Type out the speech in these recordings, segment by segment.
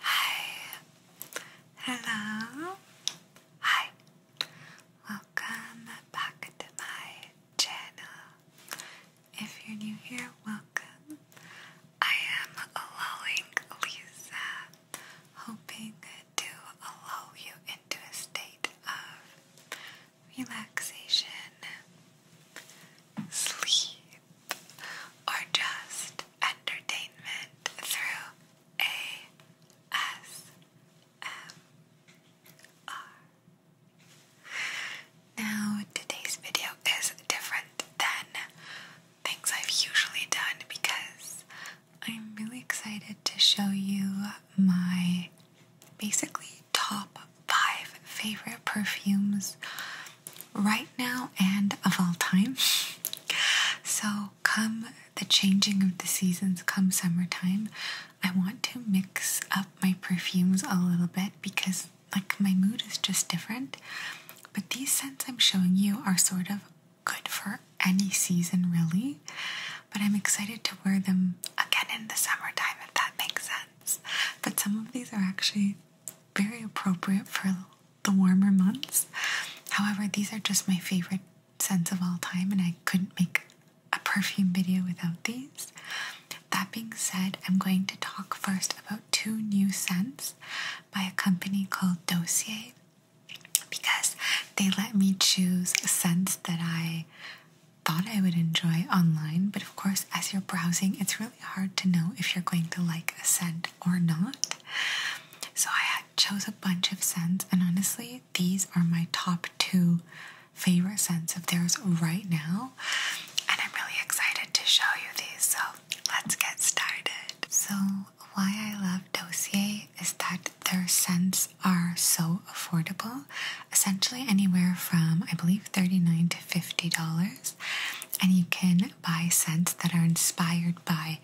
Hi. Hello. Hi. Welcome back to my channel. If you're new here, welcome. I am allowing Lisa, hoping to allow you into a state of relaxation, sleep, or just entertainment through ASMR. Now, today's video is different than things I've usually done because I'm really excited to show you my basically top five favorite perfumes right now and of all time. So, come the changing of the seasons, come summertime, I want to mix up my perfumes a little bit because, like, my mood is just different. But these scents I'm showing you are sort of good for any season, really. But I'm excited to wear them again in the summertime, if that makes sense. But some of these are actually very appropriate for the warmer months. However, these are just my favorite scents of all time, and I couldn't make a perfume video without these. That being said, I'm going to talk first about two new scents by a company called Dossier because they let me choose scents that I thought I would enjoy online. But of course, as you're browsing, it's really hard to know if you're going to like a scent or not. So I had chose a bunch of scents and honestly these are my top two favorite scents of theirs right now and I'm really excited to show you these so let's get started. So why I love Dossier is that their scents are so affordable essentially anywhere from I believe 39 to $50 and you can buy scents that are inspired by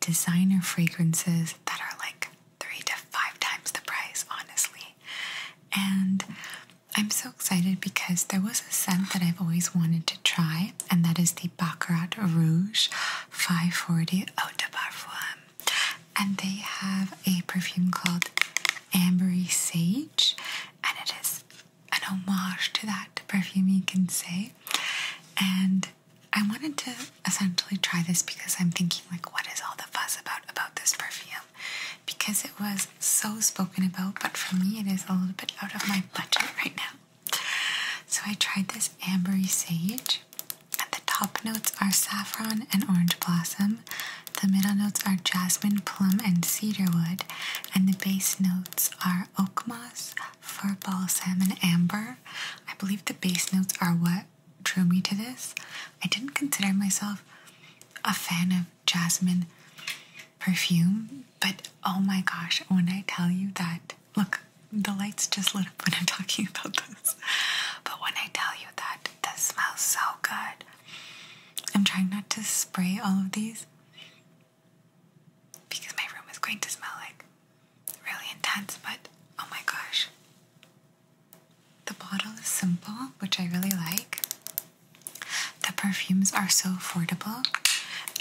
designer fragrances that are like three to five times the price, honestly. And I'm so excited because there was a scent that I've always wanted to try, and that is the Baccarat Rouge 540 Eau de Parfum. And they have a perfume called Ambery Sage, and it is an homage to that perfume, you can say. And I wanted to essentially try this because I'm thinking, like, what is all the fuss about about this perfume? Because it was so spoken about, but for me, it is a little bit out of my budget right now. So I tried this ambery sage. the top notes are saffron and orange blossom, the middle notes are jasmine, plum, and cedarwood, and the base notes are oak moss, fir balsam, and amber. I believe the base notes are what drew me to this. I didn't consider myself a fan of jasmine perfume, but oh my gosh, when I tell you that, look, the lights just lit up when I'm talking about this. But when I tell you that this smells so good, I'm trying not to spray all of these because my room is going to smell like really intense, but oh my gosh. The bottle is simple, which I really like. The perfumes are so affordable,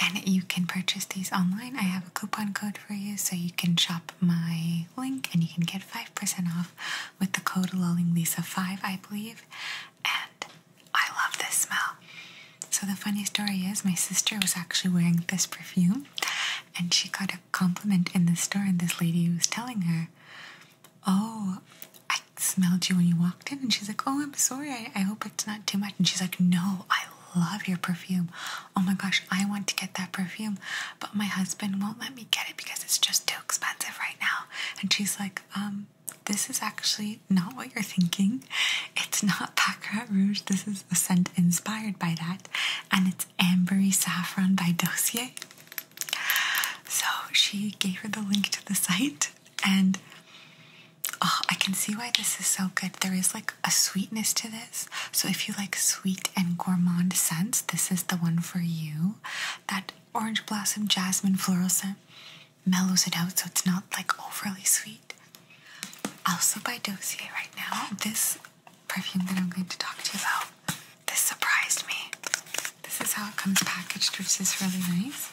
and you can purchase these online. I have a coupon code for you, so you can shop my link and you can get 5% off with the code LullingLisa5, I believe and I love this smell. So, the funny story is, my sister was actually wearing this perfume and she got a compliment in the store, and this lady was telling her, Oh, I smelled you when you walked in. And she's like, Oh, I'm sorry. I, hope it's not too much. And she's like, No, I love your perfume. Oh my gosh, I want to get that perfume, but my husband won't let me get it because it's just too expensive right now. And she's like, Um, this is actually not what you're thinking. It's not Baccarat Rouge. This is a scent inspired by that. And it's Ambery Saffron by Dossier. So she gave her the link to the site. And oh, I can see why this is so good. There is like a sweetness to this. So if you like sweet and gourmand scents, this is the one for you. That orange blossom jasmine floral scent mellows it out so it's not like overly sweet. Also by Dossier right now, this perfume that I'm going to talk to you about, this surprised me. This is how it comes packaged, which is really nice.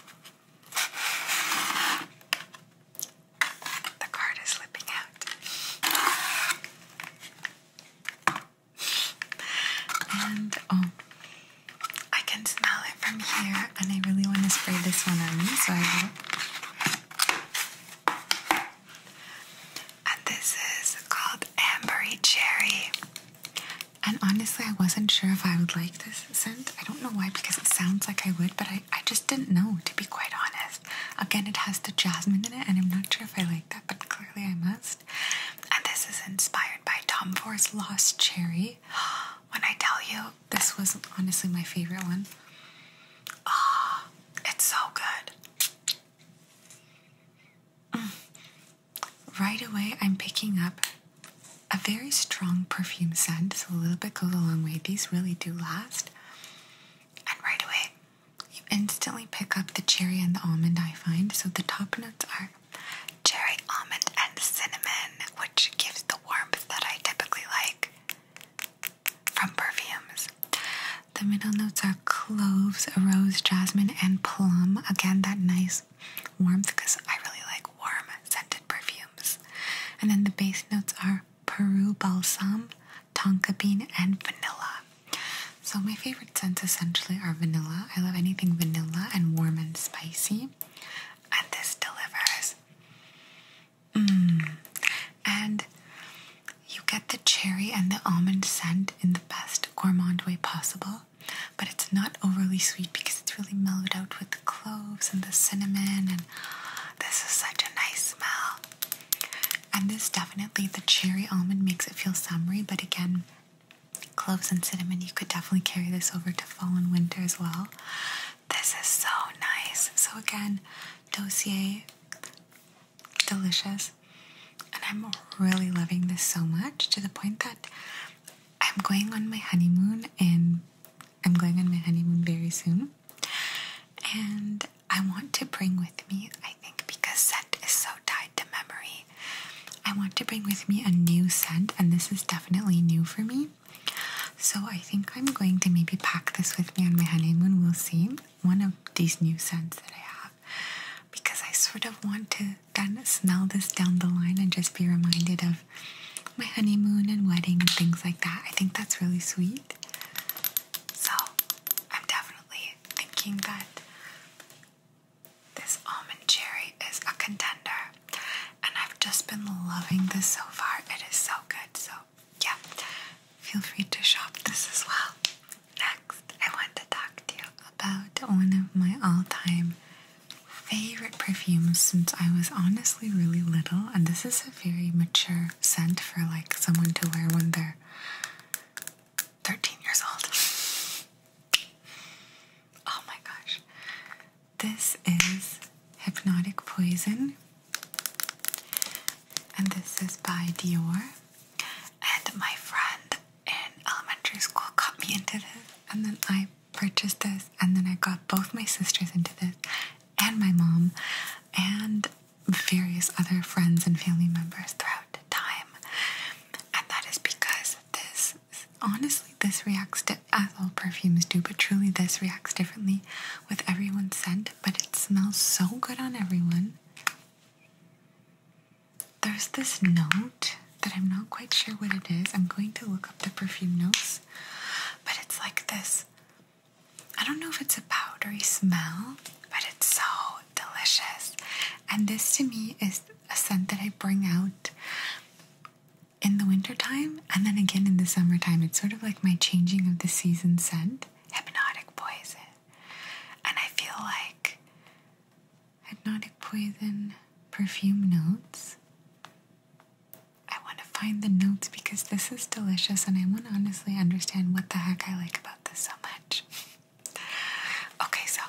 The card is slipping out. And oh, I can smell it from here, and I really want to spray this one on me, so I will. And this is called Ambery Cherry. And honestly, I wasn't sure if I would like this scent. I don't know why, because it sounds like I would, but I, I just didn't know, to be quite honest. Again, it has the jasmine in it, and I'm not sure if I like that, but clearly I must. And this is inspired by Tom Ford's Lost Cherry. When I tell you, this was honestly my favorite one. Ah, it's so good. Mm. Right away, I'm picking up a very strong perfume scent, so a little bit goes a long way. These really do last. And right away, you instantly pick up the cherry and the almond, I find. So the top notes are cherry almond and cinnamon, which gives the warmth that I typically like from perfumes. The middle notes are cloves, rose, jasmine, and plum. Again, that nice warmth because I really like warm scented perfumes. And then the base notes are Peru balsam, tonka bean, and vanilla. So my favorite scents essentially are vanilla. I love anything vanilla and warm and spicy. And this delivers. Mm. And you get the cherry and the almond scent in the best gourmand way possible. But it's not overly sweet because it's really mellowed out with the cloves and the cinnamon. And this is such a nice smell. And this definitely, the cherry almond makes it feel summery, but again, cloves and cinnamon. You could definitely carry this over to fall and winter as well. This is so nice. So again, dossier, delicious. And I'm really loving this so much to the point that I'm going on my honeymoon and I'm going on my honeymoon very soon. And I want to bring with me, I think, because scent is so tied to memory I want to bring with me a new scent, and this is definitely new for me. So I think I'm going to maybe pack this with me on my honeymoon. We'll see one of these new scents that I have because I sort of want to kind of smell this down the line and just be reminded of my honeymoon and wedding and things like that. I think that's really sweet. So I'm definitely thinking that this almond cherry is a contender, and I've just been loving this so far. It is so good. So, yeah, feel free to shop this as well. Next, I want to talk to you about one of my all time favorite perfumes since I was honestly really little, and this is a very mature scent for like someone to wear when they're 13 years old. Oh my gosh. This is Hypnotic Poison. And this is by Dior. And my friend in elementary school got me into this. And then I purchased this. And then I got both my sisters into this and my mom. And various other friends and family members throughout time. And that is because this, honestly, this reacts, to, as uh, all perfumes do, but truly this reacts differently with everyone's scent. But it smells so good on everyone. There's this note that I'm not quite sure what it is. I'm going to look up the perfume notes, but it's like this. I don't know if it's a powdery smell, but it's so delicious. And this to me is a scent that I bring out in the wintertime and then again in the summertime. It's sort of like my changing of the season scent, Hypnotic Poison. And I feel like Hypnotic Poison perfume notes. I want to find the notes because this is delicious and I want to honestly understand what the heck I like about this so much. Okay, so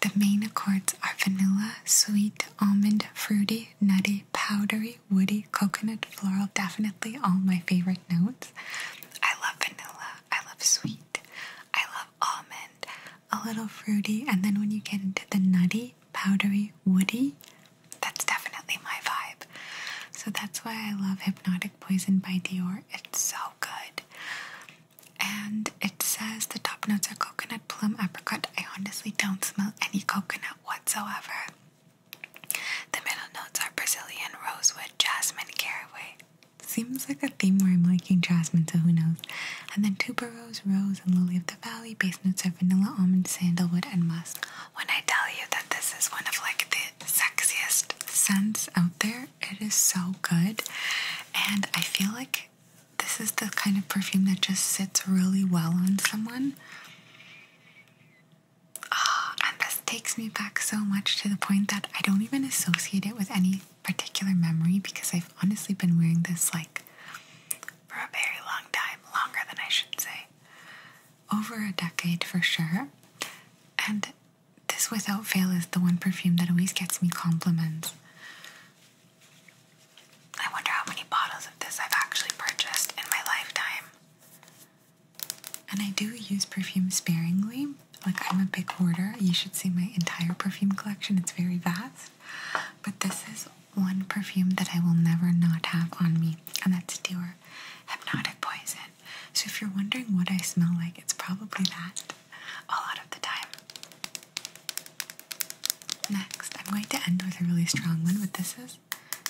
the main accords are vanilla, sweet, almond, fruity, nutty, powdery, woody, coconut, floral. Definitely all my favorite notes. I love vanilla. I love sweet. I love almond. A little fruity. And then when you get into the nutty, powdery, woody, that's definitely my vibe. So that's why I love Hypnotic. Poison by Dior. It's so good. And it says the top notes are coconut, plum, apricot. I honestly don't smell any coconut whatsoever. The middle notes are Brazilian, rosewood, jasmine, caraway. Seems like a theme where I'm liking jasmine, so who knows. And then tuberose, rose, and lily of the valley. Base notes are vanilla, almond, sandalwood, and musk. When I tell you that this is one of like the sexiest scents out there. It is so good. And I feel like this is the kind of perfume that just sits really well on someone. Oh, and this takes me back so much to the point that I don't even associate it with any particular memory because I've honestly been wearing this like for a very long time, longer than I should say over a decade for sure. And this, without fail, is the one perfume that always gets me compliments. I wonder how many bottles of this I've actually purchased in my lifetime. And I do use perfume sparingly. Like, I'm a big hoarder. You should see my entire perfume collection, it's very vast. But this is one perfume that I will never not have on me, and that's Dior Hypnotic Poison. So if you're wondering what I smell like, it's probably that a lot of the time. Next, I'm going to end with a really strong one, but this is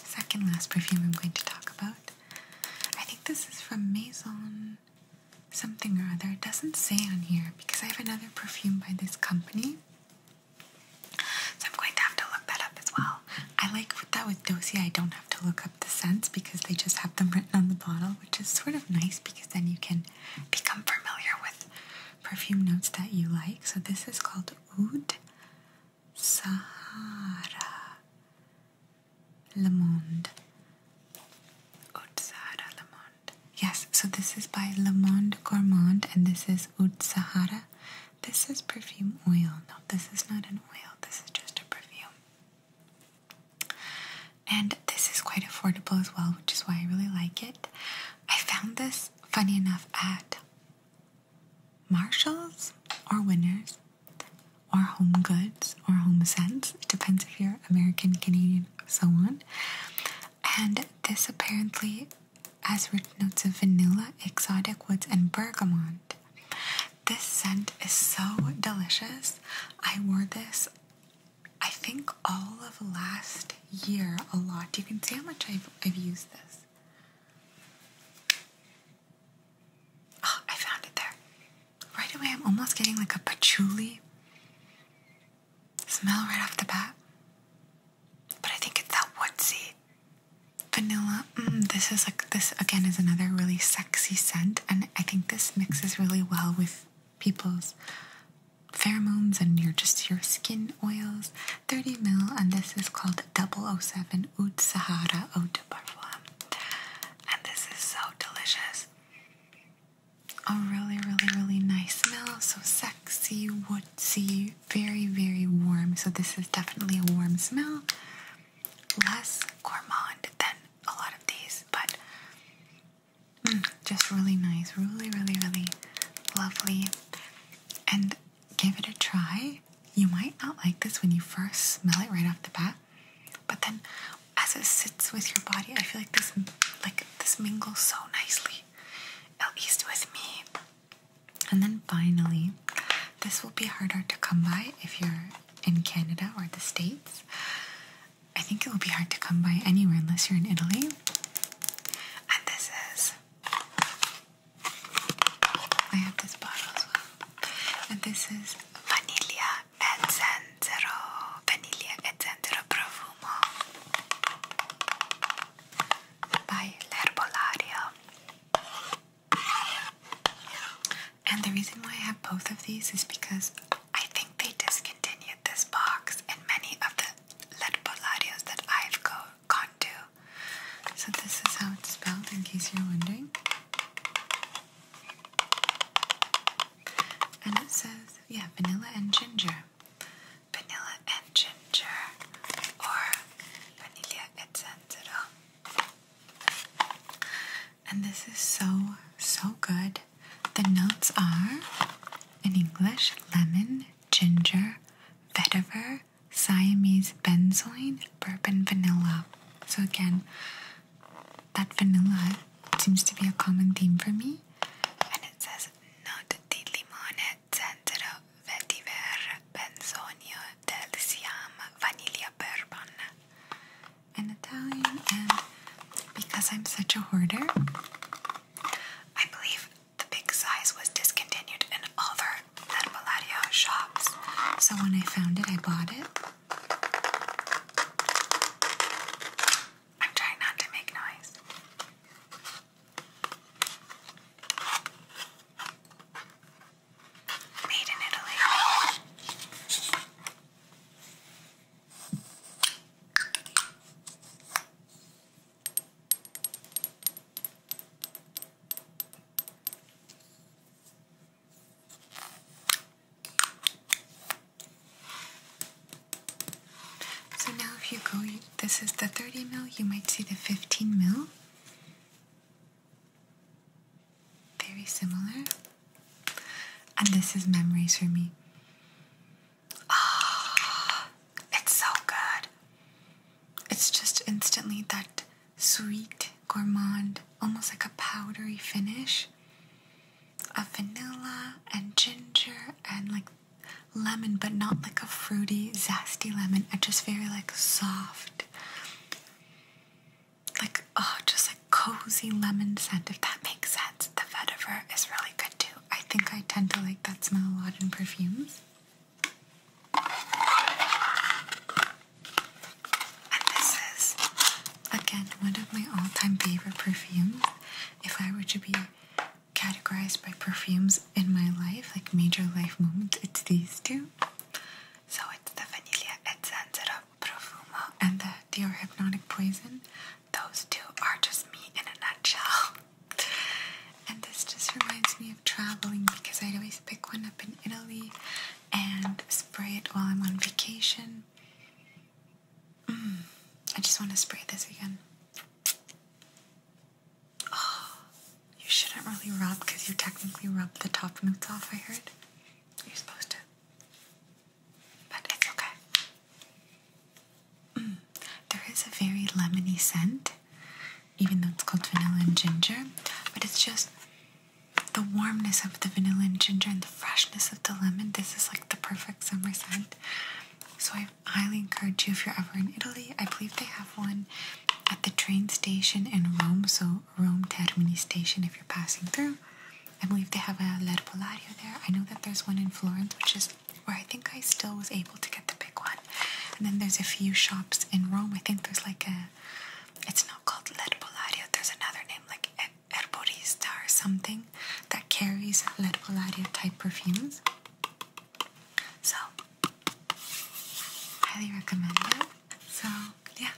second last perfume I'm going to talk about. I think this is from Maison something or other. It doesn't say on here because I have another perfume by this company. So I'm going to have to look that up as well. I like with that with Dosi, I don't have to look up the scents because they just have them written on the bottle, which is sort of nice because then you can become familiar with perfume notes that you like. So this is called Oud Sahara Le Monde. Oud Sahara Le Monde. Yes, so this is by Le Monde Gourmand and this is Oud Sahara. This is perfume oil. No, this is not an oil. This is just a perfume. And this is quite affordable as well, which is why I really like it. I found this, funny enough, at Marshalls or Winners or Home Goods or Home Sense. It depends if you're American, Canadian, so on. And this apparently has rich notes of vanilla, exotic woods, and bergamot. This scent is so delicious. I wore this, I think, all of last year a lot. You can see how much I've, I've used this. Oh, I found it there. Right away, I'm almost getting like a patchouli smell right off the bat. But I think it's that woodsy vanilla. Mm, this is like this again is another really sexy scent, and I think this mixes really well with people's pheromones and your just your skin oils. 30 mil, and this is called 007 Oud Sahara Oud de Parfum, and this is so delicious. A really, really, really nice smell. So sexy, woodsy, very, very warm. So, this is definitely a warm smell. Less gourmand than a lot of these, but mm, just really nice. Really, really, really lovely. And give it a try. You might not like this when you first smell it right off the bat, but then as it sits with your body, I feel like this like this mingles so nicely, at least with me. And then finally, this will be harder to come by if you're in Canada or the States. I think it will be hard to come by anywhere unless you're in Italy. And this is. I have this bottle as well. And this is Vaniglia e Zenzero. Vaniglia Profumo by L'Herbolario. And the reason why I have both of these is because I think they discontinued this box and many of the lead that I've gone to. So this is how it's spelled in case you're wondering. And it says, yeah, vanilla and ginger. Vanilla and ginger or vanilla, etc. And this is so, so good. The notes are in English lemon, ginger, vetiver, Siamese benzoin, bourbon vanilla. So, again, that vanilla seems to be a common theme for me. And it says, not di limone zenzero vetiver benzonio del vanilla bourbon in Italian and because I'm such a hoarder I believe the big size was discontinued in other Herbalario shops so when I found it I bought it I'm trying not to make noise Made in Italy. So now, if you go, you this is the 30 mil, you might see the 15 mil. Very similar. And this is memories for me. Ah, it's so good. It's just instantly that sweet, gourmand, almost like a powdery finish of vanilla and ginger and like lemon, but not like a fruity, zesty lemon. It's just very like soft, like oh, just a cozy lemon scent. If that makes sense, the vetiver is really good too. I think I tend to like that smell a lot in perfumes. And this is again one of my all-time favorite perfumes. If I were to be categorized by perfumes in my life, like major life moments, it's these two. So it's the Vanilla Ezzenzera Profumo and the Dior Hypnotic Poison. Those two are just me in a nutshell. And this just reminds me of traveling because I always pick one up in Italy and spray it while I'm on vacation. Mm. I just want to spray this again. Oh, you shouldn't really rub because you technically rub the top notes off, I heard. You're supposed to. But it's okay. Mm. There is a very lemony scent, even though it's called vanilla and ginger, but it's just the warmness of the vanilla and ginger and the freshness of the lemon. This is like the perfect summer scent. So I highly encourage you if you're ever in Italy. I believe they have one at the train station in Rome, so Rome Termini Station if you're passing through. I believe they have a L'Erpolario there. I know that there's one in Florence, which is where I think I still was able to get the big one. And then there's a few shops in Rome. I think there's like a, it's not called L'Erpolario, there's another name like Erborista or something that carries L'Erpolario type perfumes. So, highly recommend it. So, yeah,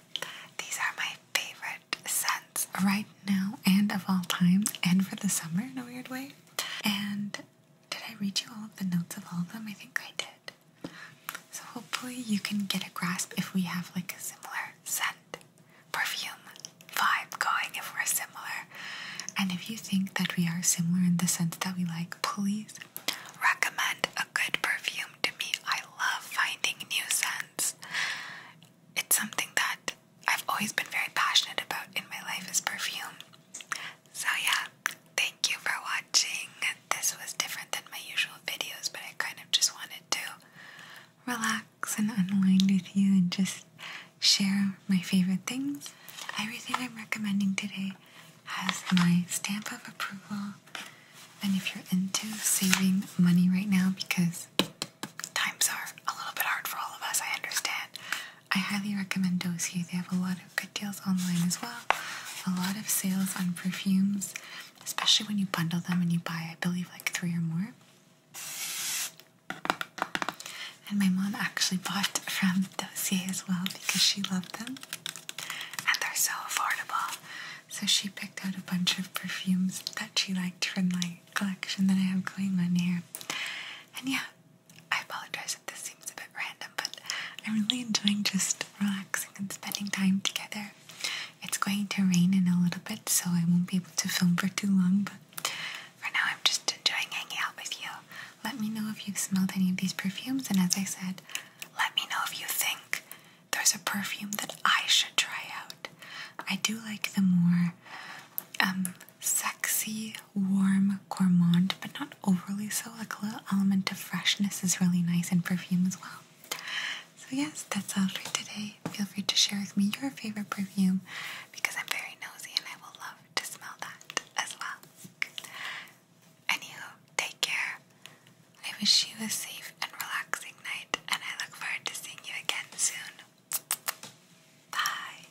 these are my favorite scents right now and of all times, and for the summer in a weird way. And did I read you all of the notes of all of them? I think I did. So, hopefully, you can get a grasp if we have like a similar scent perfume vibe going if we're similar. And if you think that we are similar in the sense that we like, please recommend a good perfume to me. I love finding new scents. It's something that I've always been very passionate about in my life is perfume. So yeah, thank you for watching. This was different than my usual videos, but I kind of just wanted to relax and unwind with you and just share my favorite things. Everything I'm recommending today has my stamp of approval. And if you're into saving money right now, because times are a little bit hard for all of us, I understand, I highly recommend Dossier. They have a lot of good deals online as well, a lot of sales on perfumes, especially when you bundle them and you buy, I believe, like three or more. And my mom actually bought from Dossier as well because she loved them. And they're so affordable. So she picked out a bunch of perfumes that she liked from my collection that I have going on here. And yeah, I apologize if this seems a bit random, but I'm really enjoying just relaxing and spending time together. It's going to rain in a little bit, so I won't be able to film for too long, but for now, I'm just enjoying hanging out with you. Let me know if you've smelled any of these perfumes, and as I said, let me know if you think there's a perfume that I should try out. I do like the more um, sexy, warm gourmand, but not overly so. Like a little element of freshness is really nice in perfume as well. So, yes, that's all for today. Feel free to share with me your favorite perfume because I'm very nosy and I will love to smell that as well. Anywho, take care. I wish you a safe and relaxing night, and I look forward to seeing you again soon. Bye.